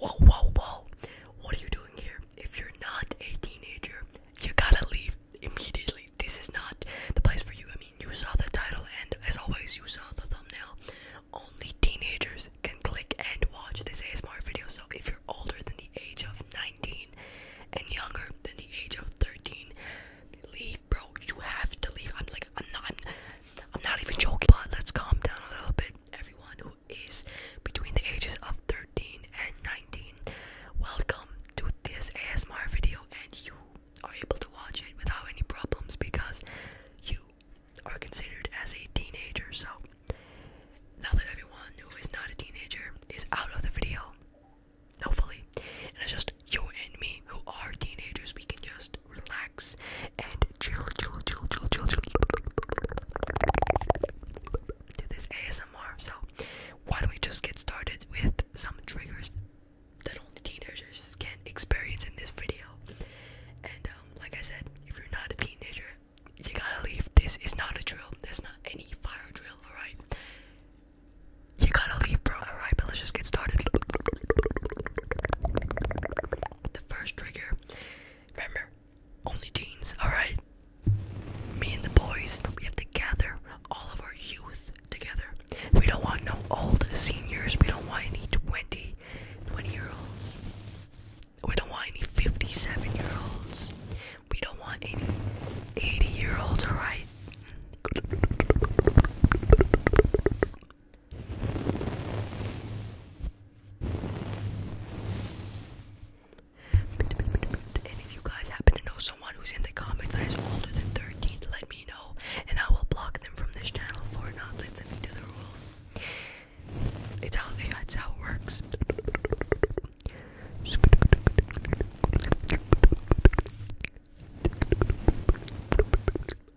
Whoa, whoa, whoa. What are you doing here? If you're not a teenager, you gotta leave immediately. This is not the place for you. I mean, you saw the title, and as always, you saw the thumbnail. Only teenagers can click and watch this ASMR video. So if you're older than the age of 19 and younger than the age of 13, leave, bro. You have to leave. I'm like, I'm not, I'm, I'm not even joking. But let's calm down a little bit everyone who is between the ages of 13 and 19. Welcome to this ASMR video, and you are able to watch it without any problems because you are considered as a teenager. So, now that everyone who is not a teenager is out of the video, hopefully, and it's just you and me who are teenagers, we can just just relax and chill, chill, chill, chill, chill, chill. Do this ASMR. So, why don't we just get started with some triggers that only teenagers can experience in this video? And um, like I said, if you're not a teenager, you gotta leave. This is not a drill. There's not any fire drill. All right. You gotta leave, bro. Alright, but let's just get started. The first trigger Remember, only teens, alright? Me and the boys, we have to gather all of our youth together. We don't want no old seniors. We don't want any 20, 20 year olds. We don't want any 57 year olds. We don't want any 80 year olds, alright? And if you guys happen to know someone who's in the comments that is older than 13, let me know, and I will block them from this channel for not listening to the rules. It's how they, it's how it works.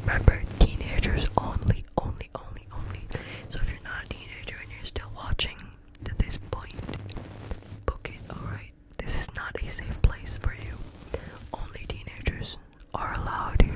Remember, teenagers only, only, only, only. So if you're not a teenager and you're still watching to this point, book it, alright? This is not a safe place for you. Only teenagers are allowed here.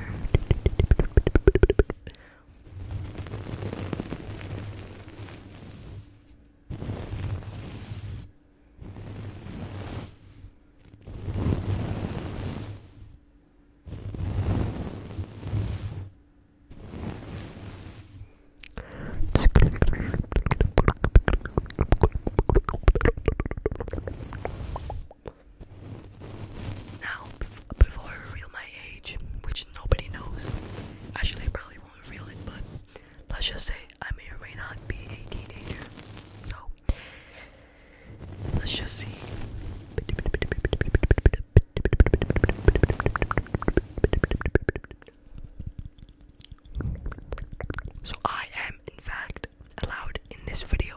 Now, before I reveal my age, which nobody knows, actually, probably won't reveal it, but let's just say I may or may not be a teenager. So let's just see. So I am in fact allowed in this video.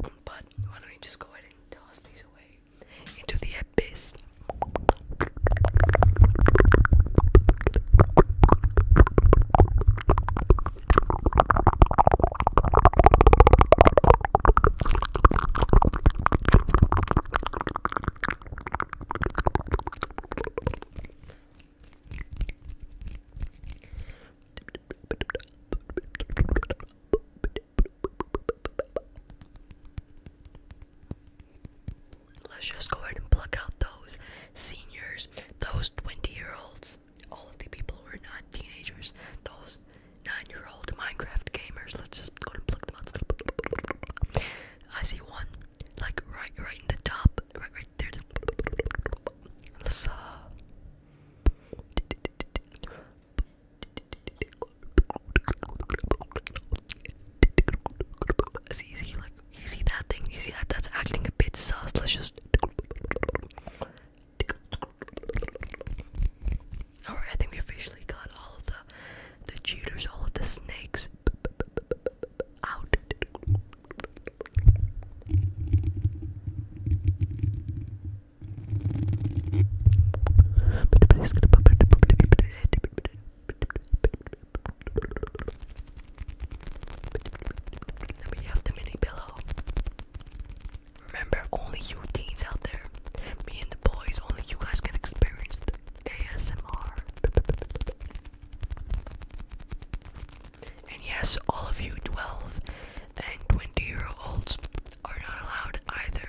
But why don't we just go ahead and toss these away into the abyss? Let's just go ahead and pluck out those seniors, those 20 year olds, all of the people who are not teenagers, those nine-year-old Minecraft gamers. Let's just go and pluck them out. I see one, like right, right in the top, right, right there. Let's uh. See, see, like, you see that thing? You see that? That's acting a bit sus. Let's just Alright, I think we officially got all of the the cheaters, all of the snakes out. Then we have the mini pillow. Remember, only you teens out there, me and the boys, only you guys can experience the ASMR. And yes, all of you 12 and 20 year olds are not allowed either.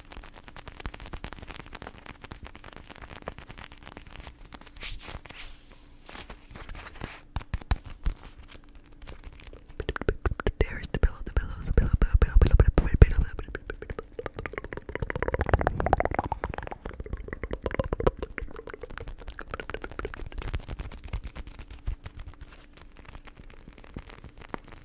There is the pillow, the pillow, the pillow, pillow, pillow, pillow, pillow, pillow, pillow.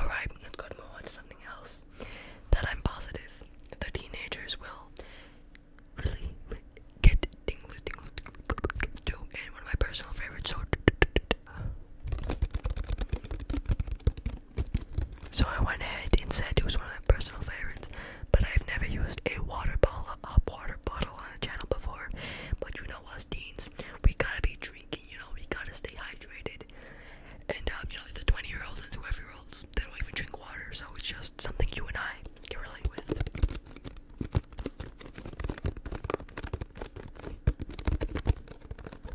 Alright, let's go to move on to something else that I'm positive the teenagers will really get tingles, tingles, tingles, tingles to, and one of my personal favorites, so so I went ahead and said it was one of my personal favorites, but I've never used a water bottle, a water bottle on the channel before. But you know us Deans, we gotta be drinking, you know, we gotta stay hydrated. And um, you know, the 20 year olds and 12 year olds, they don't even drink water, so it's just something you and I can relate with.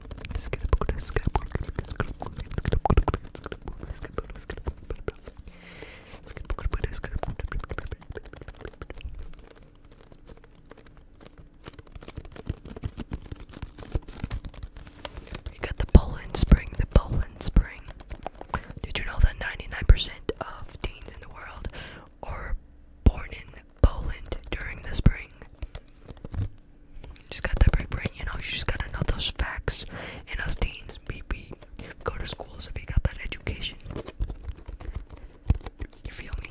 You got the Poland Spring, the Poland Spring. Did you know that 99% of teens in the world are born in Poland during the spring? she got that brain, you know, she's gotta know those facts. And us teens, we, we go to school, so you got that education. You feel me?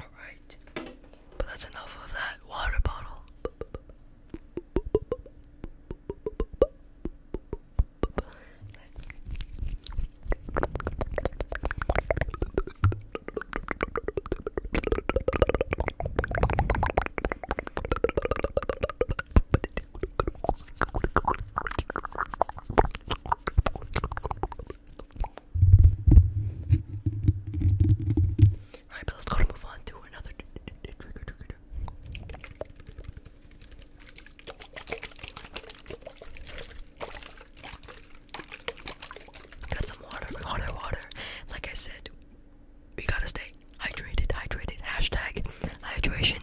Alright. But that's enough of that water bottle. Alright, but let's go to move on to another trigger, trigger. Got some water, water, water. Like I said, we gotta stay hydrated, hydrated. Hashtag hydration.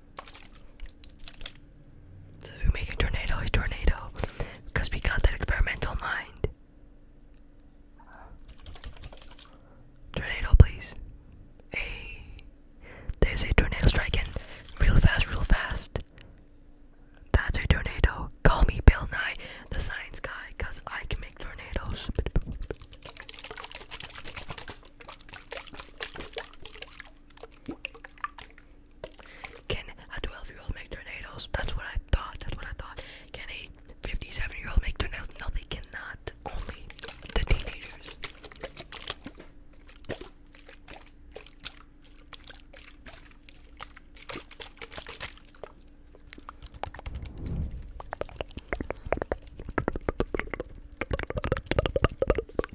we make a tornado, a tornado, because we got that experimental mind. Tornado, please. Hey, there's a tornado striking real fast, real fast. That's a tornado. Call me Bill Nye, the science guy, because I can make tornadoes. Can a 12 year old make tornadoes? That's what I thought. That's what I thought. Can a 57 year old make tornadoes? No, they cannot. Only the teenagers.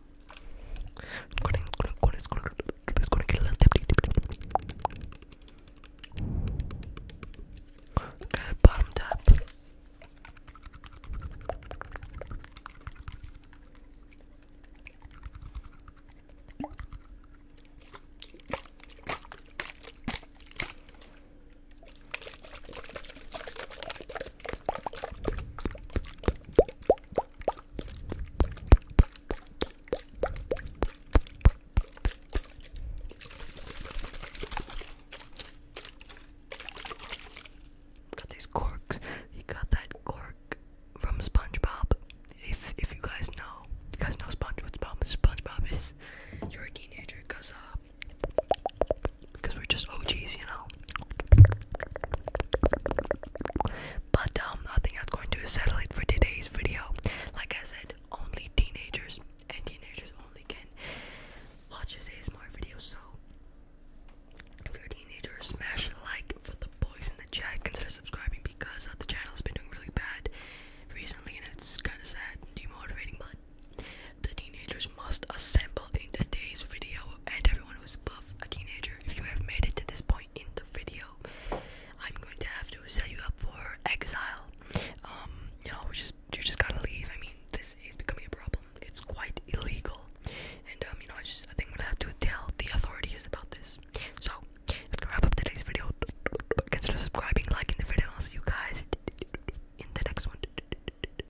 gonna, gonna, gonna, gonna, gonna, gonna get a little dippy, dippy, dippy. bottom tap. Got these corks. He got that cork from SpongeBob. If if you guys know, you guys know SpongeBob. SpongeBob is you're a teenager, cause uh, because we're just OGs, you know. But um, I think that's going to settle it for today's video. Like I said, only teenagers and teenagers only can watch this ASMR video. So if you're a smash like for the boys in the chat. Consider subscribing because uh, the channel's been doing really bad recently, and it's kind of sad, demotivating, but. The teenagers must assemble in today's video and everyone who's above a teenager, if you have made it to this point in the video, I'm going to have to set you up for exile. Um, you know, just you just gotta leave. I mean, this is becoming a problem. It's quite illegal, and um, you know, I just I think we am gonna have to tell the authorities about this. So, I'm gonna wrap up today's video. Consider subscribing, liking the video. I'll see you guys in the next one.